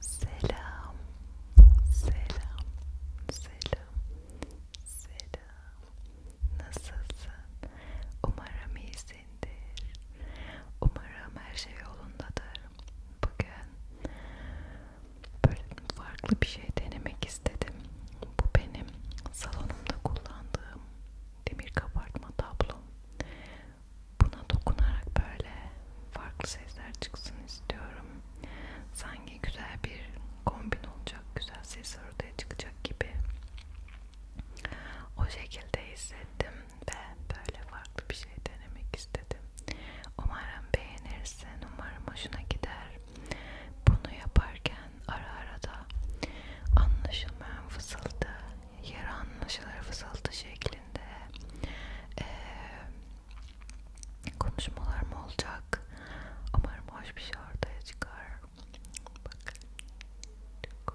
Selam, selam, selam, selam. Nasılsın? Umarım iyisindir. Umarım her şey yolundadır. Bugün böyle farklı bir şey denemek istedim. Bu benim salonumda kullandığım demir kabartma tablom. Buna dokunarak böyle farklı sesler çıksın istiyorum. Sanki güzel bir kombin olacak, güzel sesler ortaya çıkacak gibi. O şekilde hissettim ve böyle farklı bir şey denemek istedim. Umarım beğenirsin, umarım hoşuna gider. Bunu yaparken ara ara da anlaşılmayan fısıldı yarı anlaşılır fısıltı şeklinde e, konuşmalarım olacak. Umarım hoş bir şey ortaya çıkar. Bakın. Çok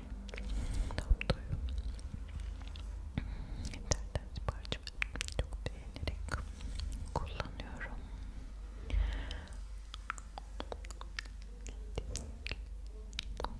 Domdoyu internet sipariş çok beğenerek kullanıyorum. Çok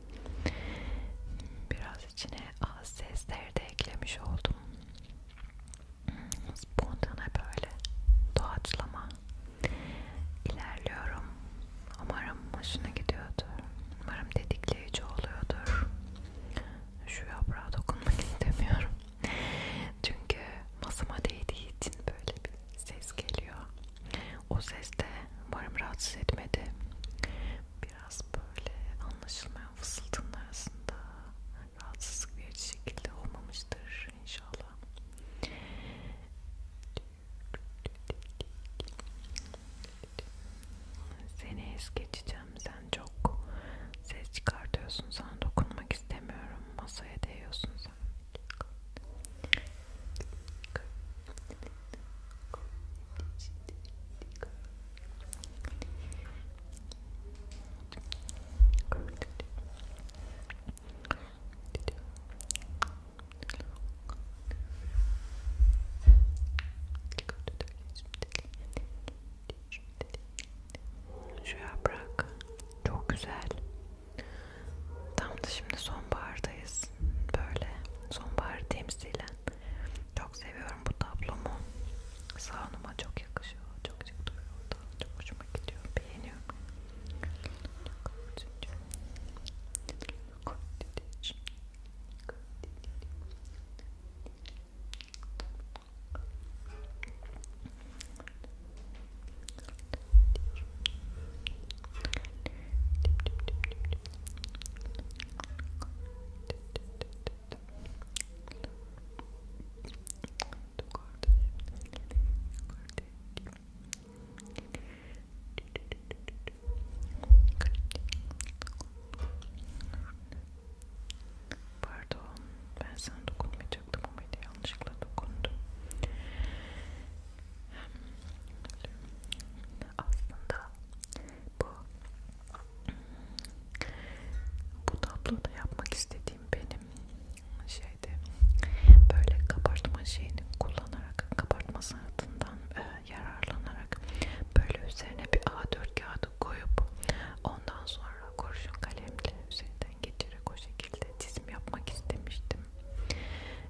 Biraz içine az sesleri de eklemiş oldum. Spontane böyle doğaçlama ilerliyorum. Umarım hoşuna gidiyordur. Umarım dedikleyici oluyordur. Şu yaprağa dokunmak istemiyorum. Çünkü masama değdiği için böyle bir ses geliyor. O ses de umarım rahatsız etmedi. Biraz böyle anlaşılmayan fısıltının arasında rahatsızlık verici şekilde olmamıştır inşallah. Seni es geçeceğim. Sen çok ses çıkartıyorsun. Sana dokunmak istemiyorum. Masaya değiyorsun şu yaprak çok güzel Tam da şimdi sonbahardayız. Böyle sonbaharı temsilen. Çok seviyorum bu tablomu. Salonuma çok yakışıyor. Çok çok duruyor orada. Çok hoşuma gidiyor. Beğeniyorum. Pardon, ben sana dokunmayacaktım ama yanlışlıkla dokundum. Aslında bu bu tabloda yapmak istediğim benim şeydi böyle kabartma şeyini kullanarak kabartma sanatından e, yararlanarak böyle üzerine bir A4 kağıdı koyup ondan sonra kurşun kalemle üzerinde üzerinden geçerek o şekilde çizim yapmak istemiştim.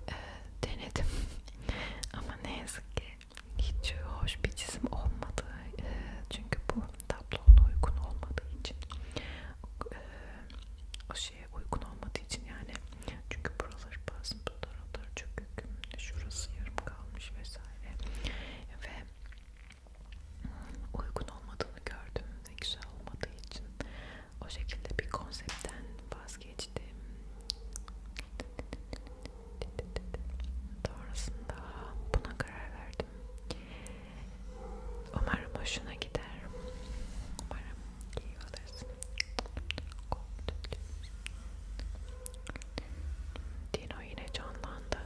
E, denedim ama ne yazık ki hiç hoş bir çizim olmadı. E, çünkü bu tablona uygun olmadığı için e, o şeye uygun olmadığı için yani çünkü buralar bazen bu taraflar çökük şurası yarım kalmış vesaire ve uygun olmadığını gördüm ve güzel olmadığı için o şekilde bir konseptten vazgeçtim. Doğrusunda buna karar verdim. Umarım hoşuna gider. Umarım iyi alırsın. Dino yine canlandı.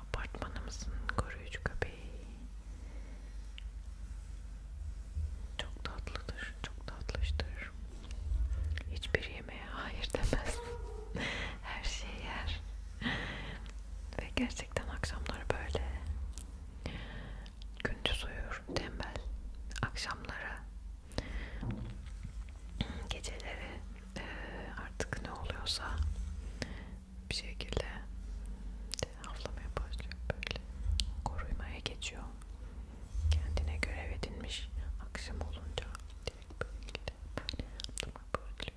Apartmanımızın koruyucu köpeği çok tatlıdır, çok tatlıştır. Hiçbir yemeğe hayır demez. Her şeyi yer. Ve gerçekten akşamları böyle gündüz uyur, tembel. Akşamları geceleri artık ne oluyorsa bir şekilde havlamaya başlıyor böyle korumaya geçiyor kendine görev edinmiş akşam olunca direkt böyle havlamaya başlıyor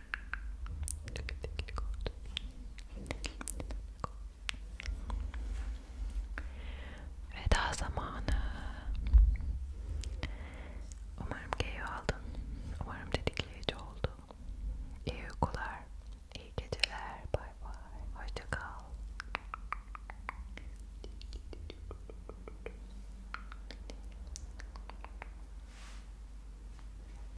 Veda zamanı. Umarım keyif aldın. Umarım dedikleyici oldu. İyi uykular, iyi geceler. Bay bay. Hoşça kal.